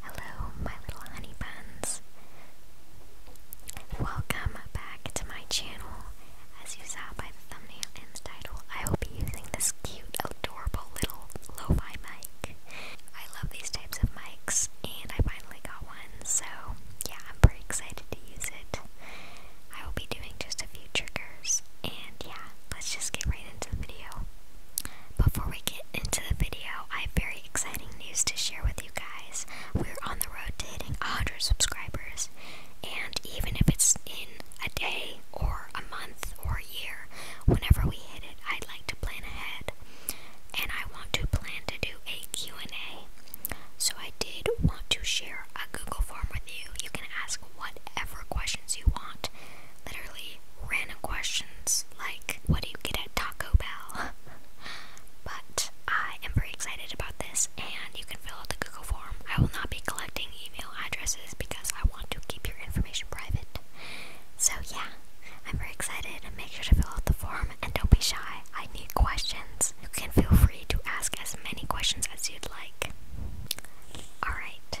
Hello, my little honey Welcome back to my channel. As you saw by the thumbnail and the title, I will be using this cute, adorable little lo mic. I love these types of mics, and I finally got one, so yeah, I'm pretty excited to use it. I will be doing just a few triggers, and yeah, let's just get right into the video. Before we get into the video, I have very exciting news to share with you guys. We're on the road to hitting 100 subscribers, and even if it's in a day or a month or a year, whenever we hit it, I'd like to plan ahead. And I want to plan to do a Q&A. So I did want to share a Google form with you. You can ask whatever questions you want random questions like, what do you get at Taco Bell? but I am very excited about this, and you can fill out the Google form. I will not be collecting email addresses because I want to keep your information private. So, yeah, I'm very excited. Make sure to fill out the form and don't be shy. I need questions. You can feel free to ask as many questions as you'd like. Alright,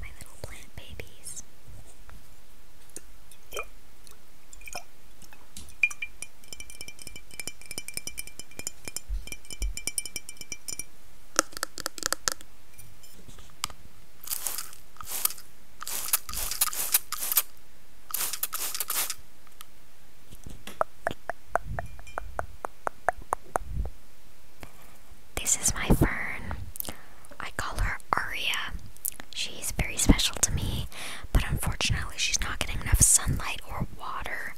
My little plant babies. This is my fern. I call her Aria. She's very special to me, but unfortunately, she's not getting enough sunlight or water,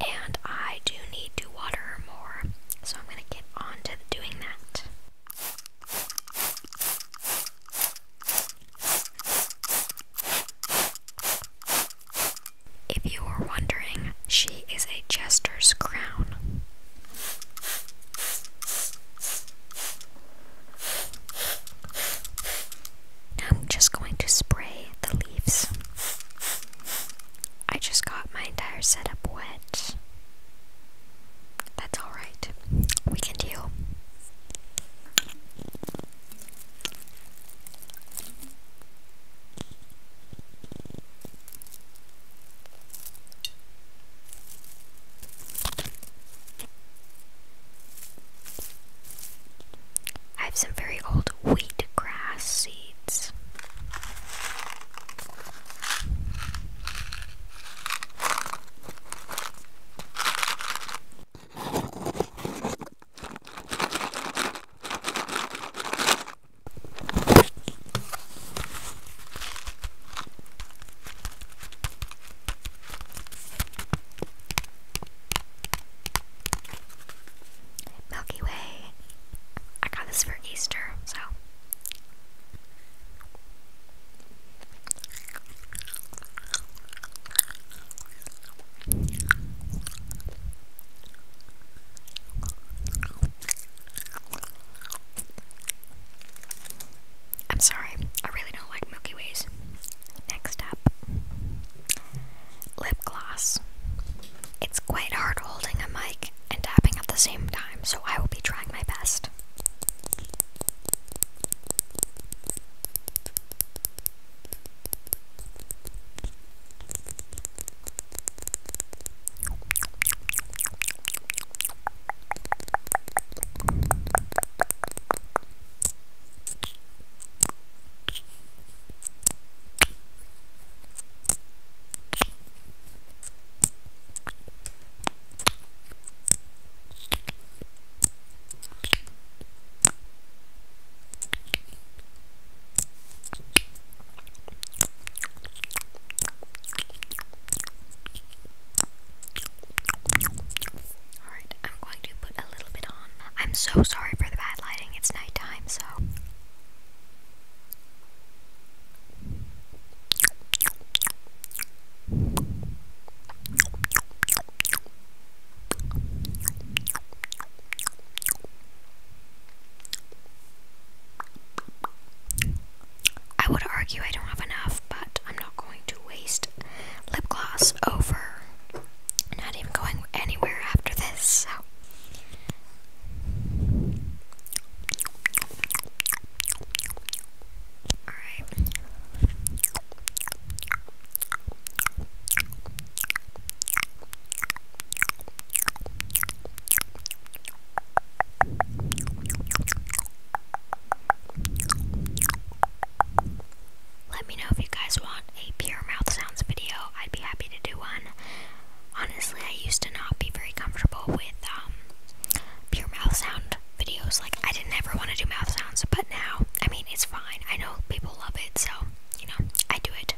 and I do need to water her more. So I'm going to get on to doing that. If you were wondering, she is a jester's crown. I'm just going to spray the leaves. I just got my entire setup wet. That's alright. We can deal. I have some very old wheat grass seeds. Milky Way. I got this for Easter, so I'm sorry, I really don't like Milky Ways. Next up, lip gloss. It's quite hard holding a mic and tapping at the same time, so I will be trying my best. Alright, I'm going to put a little bit on. I'm so sorry for the bad lighting, it's nighttime, so. I would argue I don't have enough, but I'm not going to waste lip gloss over not even going anywhere after this. So let me know if you guys want a pure mouth sounds video, I'd be happy to do one. Honestly, I used to not be very comfortable with um pure mouth sound videos. Like I didn't ever want to do mouth sounds, but now, I mean, it's fine. I know people love it, so, you know, I do it.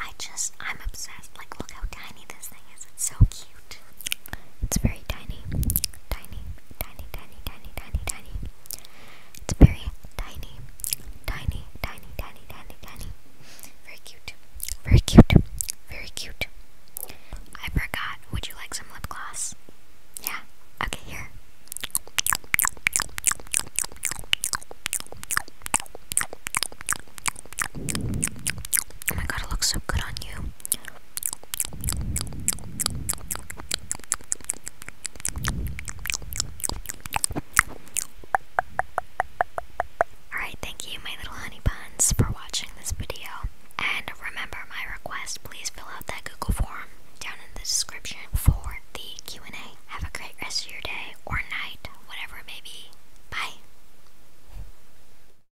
I just, I'm obsessed. Like, look how tiny this thing is. It's so cute. It's very tiny, tiny, tiny, tiny, tiny, tiny, tiny. It's very tiny, tiny, tiny, tiny, tiny, tiny. Very cute, very cute, very cute. I forgot. Would you like some lip gloss? Yeah. Okay, here. Oh my god, it looks so good on you. Alright, thank you, my little honey for watching this video. And remember my request please fill out that Google form down in the description for the Q&A. Have a great rest of your day or night, whatever it may be. Bye.